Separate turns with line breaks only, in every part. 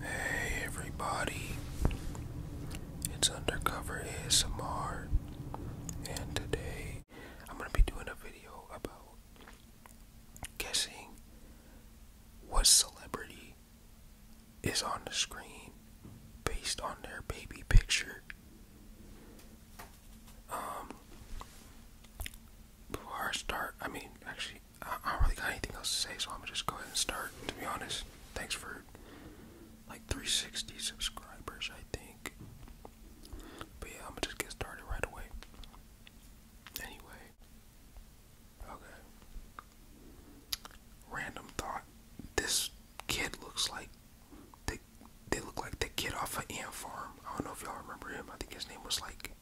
Hey everybody, it's Undercover ASMR, and today I'm going to be doing a video about guessing what celebrity is on the screen based on their baby picture. Um, before I start, I mean, actually, I, don't really got anything else to say, so I'm gonna just go ahead and start. To be honest, thanks for like 360 subscribers, I think. But yeah, I'm gonna just get started right away. Anyway, okay. Random thought: This kid looks like they they look like the kid off of Ant Farm. I don't know if y'all remember him. I think his name was like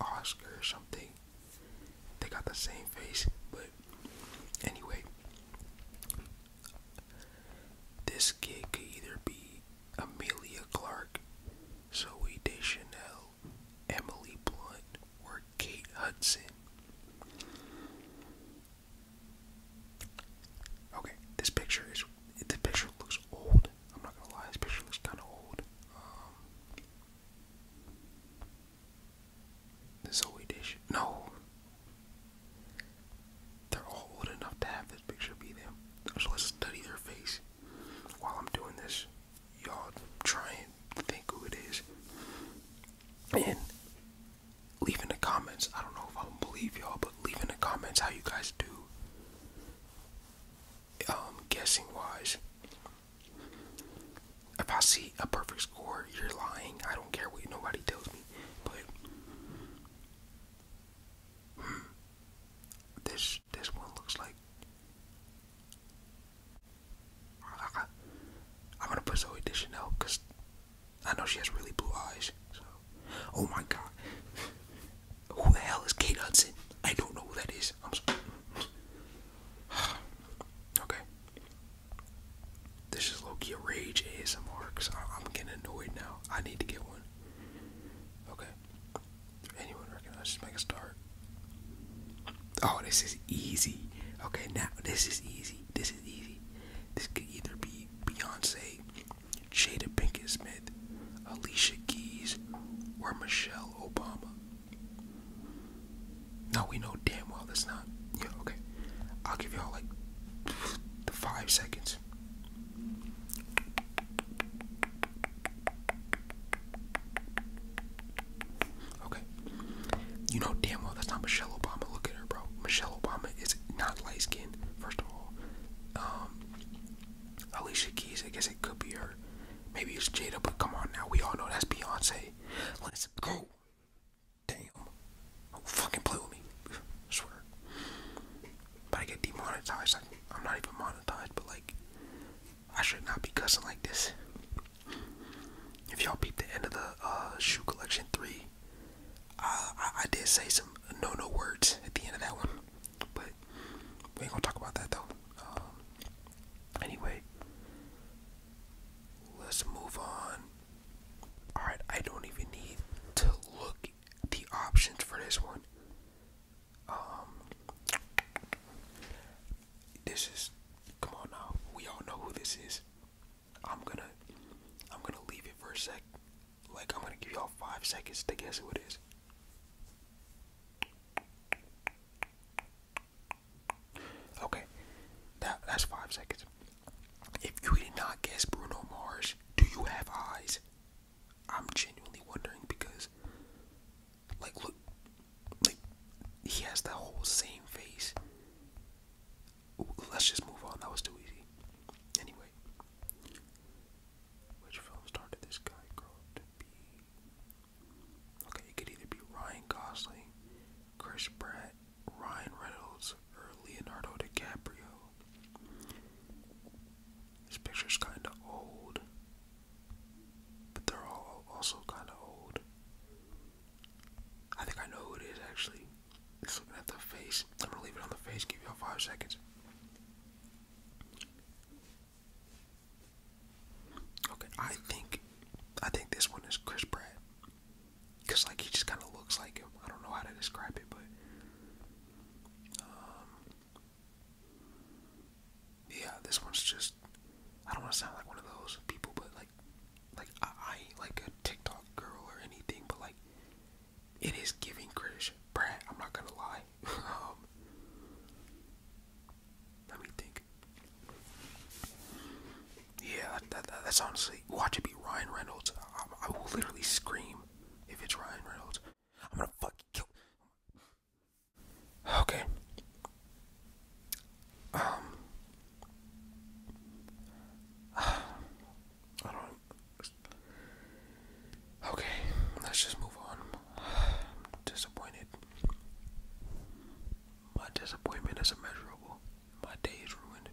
Oscar or something. They got the same face, but anyway, this kid could either be Amelia Clark, Zoe Deschanel, Emily Blunt, or Kate Hudson. Okay, this picture is. This picture looks old. I'm not gonna lie. This picture looks kind of old. Um, the Zoe dish. No. They're all old enough to have this picture be them. So let's study their face. While I'm doing this, y'all try and think who it is. And leave in the comments. I don't know if I'm believe y'all, but leave in the comments how you guys do um, guessing wise. If I see a perfect score, you're lying. I don't care what nobody tells me. But hmm, this this one looks like I, am gonna put Zoe Deschanel because I know she has really blue eyes. So, oh my God, who the hell is Kate Hudson? I don't know who that is. okay. This is Loki a rage ASMR I'm getting annoyed now. I need to get one. Okay. Anyone recognize? Just make a start. Oh, this is easy. Okay, now this is easy. This is easy. This could either be Beyonce, Jada Pinkett Smith, Alicia Keys, or Michelle Obama. Now we know damn well that's not. okay. I'll give y'all like five seconds. Okay. You know damn well that's not Michelle Obama. Look at her, bro. Michelle Obama is not light skinned, first of all. Um, Alicia Keys, I guess it could be her. Maybe it's Jada, but come on now. We all know that's Beyonce. Let's go. Damn. do fucking play with me. swear. But I get demonetized. I'm not even monetized, but like, I should not be cussing like this. If y'all peep the end of the uh, shoe collection three, uh, I, I did say some no no words at the end of that one. But we ain't gonna talk about that though. Um, anyway, let's move on. Alright, I don't even need to look the options for this one. Um, this is come on now. We all know who this is. I'm gonna I'm gonna leave it for a sec. Like I'm gonna give y'all five seconds to guess who it is. Okay, that, that's five seconds. If you did not guess Bruno Mars, do you have eyes? I'm genuinely wondering because, like, look, like, he has the whole same face. let's just move on, that was too easy. Anyway, which film started this guy? okay, it could either be Ryan Gosling, Chris Pratt, Ryan Reynolds, or Leonardo DiCaprio. This picture's kinda old. But they're all also kinda old. I think I know who it is actually. Just looking at the face. I'm gonna leave it on the face, give you all five seconds. Okay, I think I think this one is Chris Pratt. Cause like he just kinda looks like him. I don't know how to describe it, but um, Yeah, this one's just I don't wanna sound like one of those people but like like I, like a TikTok girl or anything, but like it is giving Chris Pratt. I'm not gonna lie. Um, let me think. Yeah, that's honestly. Watch it be Ryan Reynolds. I, will literally scream if it's Ryan Reynolds. I'm gonna fucking kill. Okay. Um. I don't. Okay, let's just move on. disappointed. My disappointment is immeasurable. My day is ruined.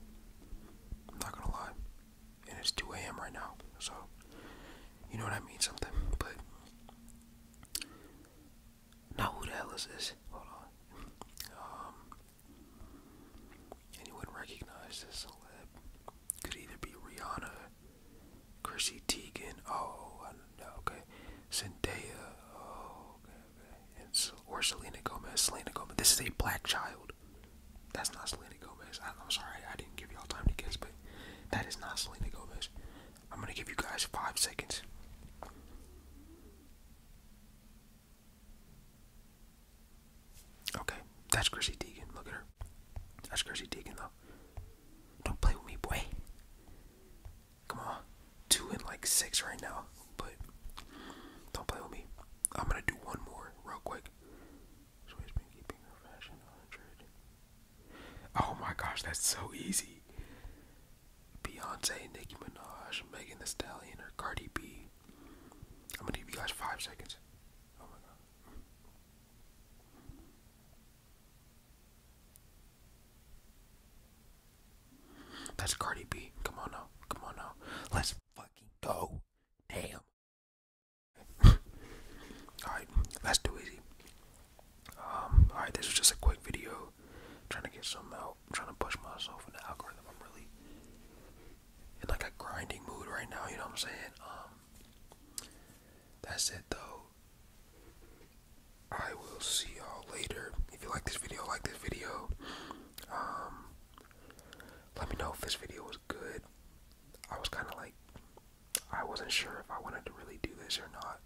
I'm not gonna lie. And it's 2 a.m. right now, so you know that means something, but now who the hell is this? Hold on. Um anyone recognize this celeb? Could either be Rihanna Chrissy Teigen. Oh, Okay. Zendaya. Oh, okay, or Selena Gomez. Selena Gomez. This is a black child. That's not Selena Gomez. I'm sorry. I didn't give y'all time to guess, but that is not Selena Gomez. I'm going to give you guys five seconds. Okay, that's Chrissy Teigen. Look at her. That's Chrissy Teigen, though. Don't play with me, boy. Come on. Two and like six right now, but don't play with me. I'm gonna do one more real quick. Oh my gosh, that's so easy. Beyonce, Nicki Minaj, Megan The Stallion, or Cardi B. I'm gonna give you guys five seconds. Oh that's Cardi B. Come on now. Come on now. Let's fucking go. Damn. alright, that's too easy. alright, this was just a quick video. trying to get some out. trying to push myself in the algorithm. I'm really in like a grinding mood right now, you know what I'm saying? Um, that's it though. I will see y'all later. If you like this video, like this video. Um, let me know if this video was good. I was kinda like I wasn't sure if I wanted to really do this or not.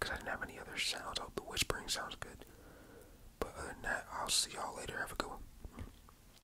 Cause I didn't have any other sounds. I hope the whispering sounds good. But other than that, I'll see y'all later. Have a good one.